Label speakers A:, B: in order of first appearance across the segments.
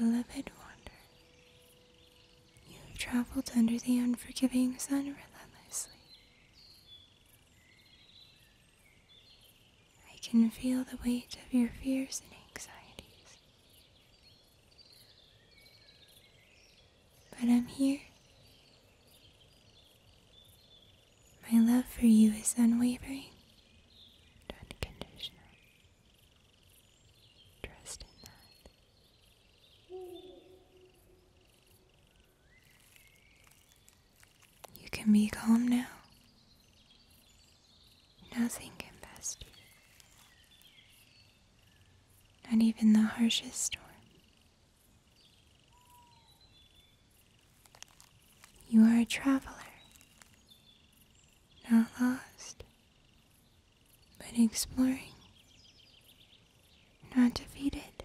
A: Beloved wanderer, you have traveled under the unforgiving sun relentlessly, I can feel the weight of your fears and anxieties. But I'm here. My love for you is unwavering and unconditional. Trust in that. You can be calm now. Nothing can pass you, not even the harshest storm. You are a traveler, not lost, but exploring not defeated,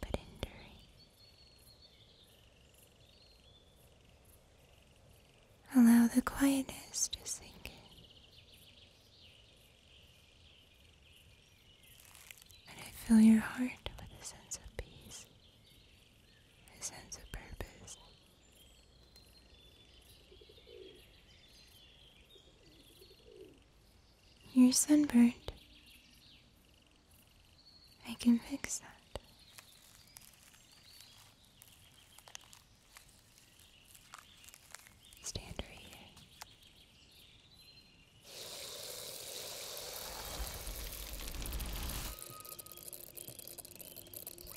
A: but enduring. Allow the quietness to sink in. And I fill your heart with a sense of peace, a sense of purpose. You're sunburned. I can fix that. Stand right here.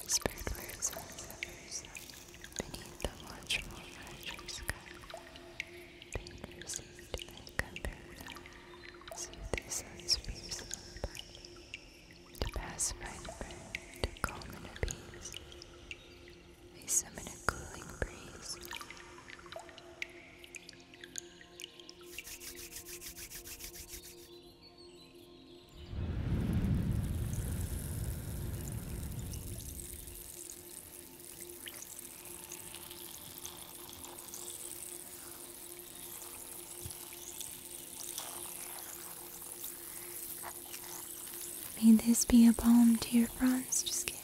A: This bird beneath the watchful archer's sky. Pain received and compared, soothe the sun's fierce to pacify the brain, to calm and appease. They summon a cooling breeze. May this be a balm to your bronzed skin.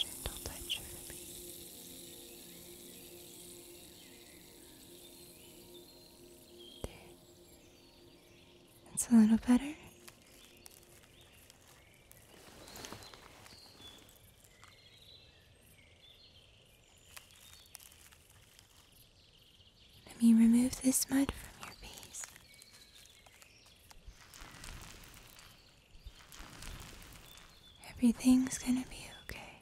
A: Gentle touch of relief. There. It's a little better. Let me remove this mud from your face. Everything's gonna be okay.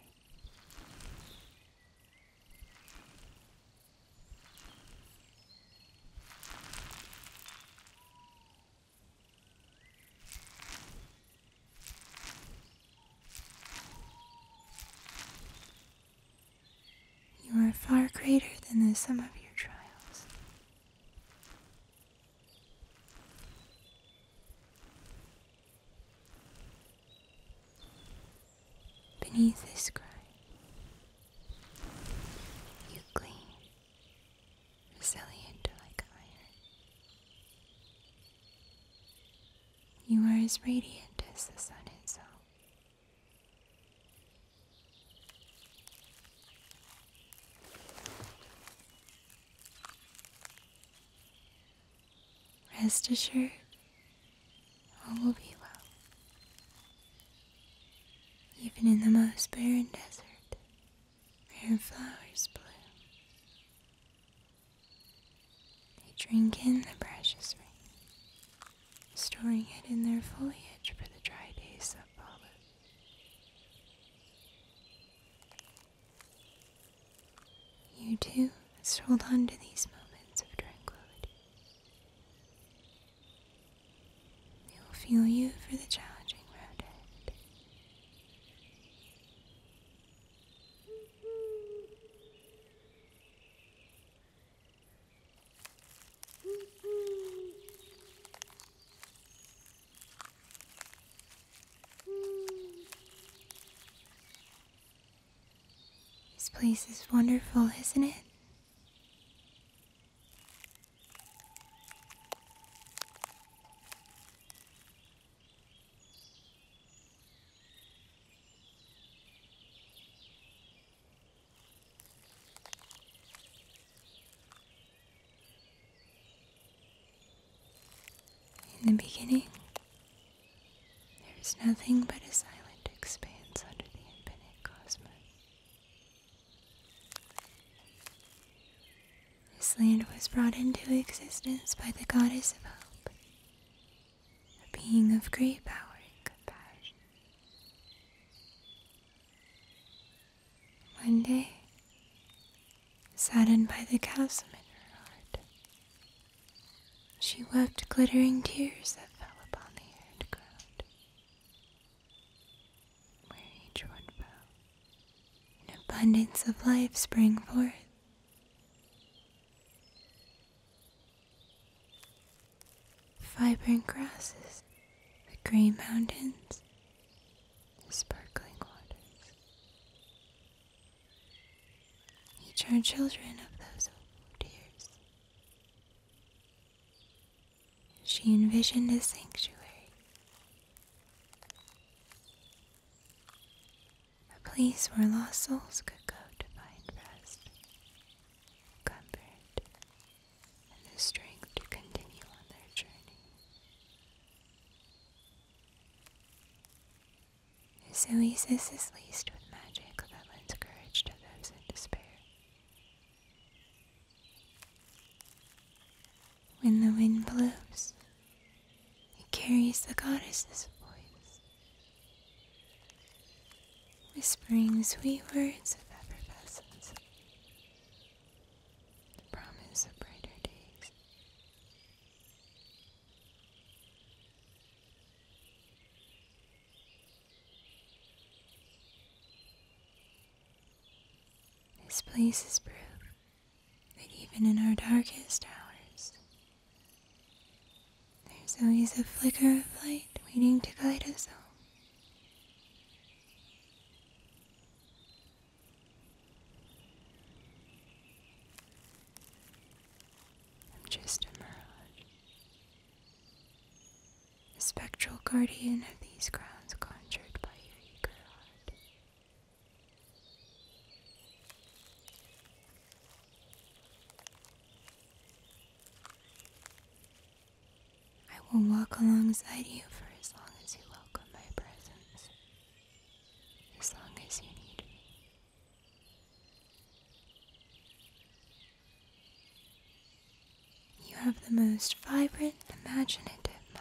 A: You are far greater than the sum of your trials. Beneath this cry, you clean, resilient like iron. You are as radiant as the sun itself. Rest assured, all will be well. Even in the most barren desert, rare flowers bloom. They drink in the precious rain, storing it in their foliage for the dry days that follow. You too must hold on to these moments of tranquility. We will feel you for the challenging road ahead. This place is wonderful, isn't it? In the beginning, there is nothing but a silent expanse under the infinite cosmos. This land was brought into existence by the goddess of hope, a being of great power and compassion. One day, saddened by the chasm in her heart, she wept glittering tears that fell upon the arid where each one fell. An abundance of life sprang forth. Vibrant grasses, the green mountains, sparkling waters. Each are children of those old years. She envisioned a sanctuary, a place where lost souls could go to find rest, comfort, and the strength to continue on their journey. This is laced with magic that lends courage to those in despair. When the wind blows, it carries the goddess's voice, whispering sweet words of effervescence, the promise of brighter days. This place is proof that even in our darkest hours, there's always a flicker of light waiting to guide us home. I'm just a mirage the spectral guardian of these grounds conjured by your eager heart. I will walk alongside you for as long as you welcome my presence, as long as you need me. You have the most vibrant, imaginative mind.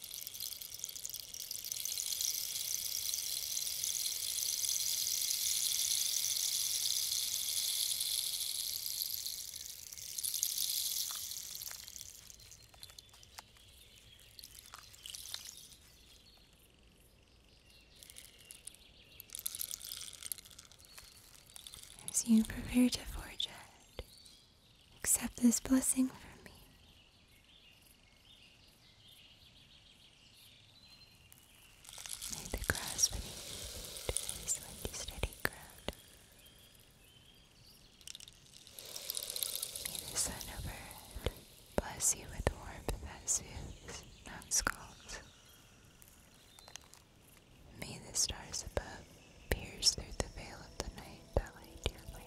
A: As you prepare to forge it. Accept this blessing from me. May the grass beneath you to this windy, steady ground. May the sun overhead bless you with warmth that soothes, not scalds. May the stars above pierce through the veil of the night that light your life.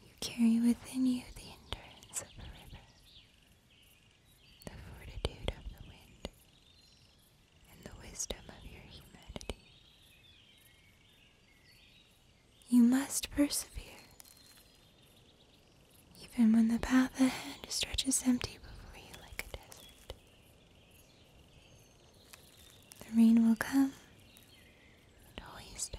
A: You carry within you the endurance of a river, the fortitude of the wind, and the wisdom of your humanity. You must persevere, even when the path ahead stretches empty before you like a desert. The rain will come, it always does.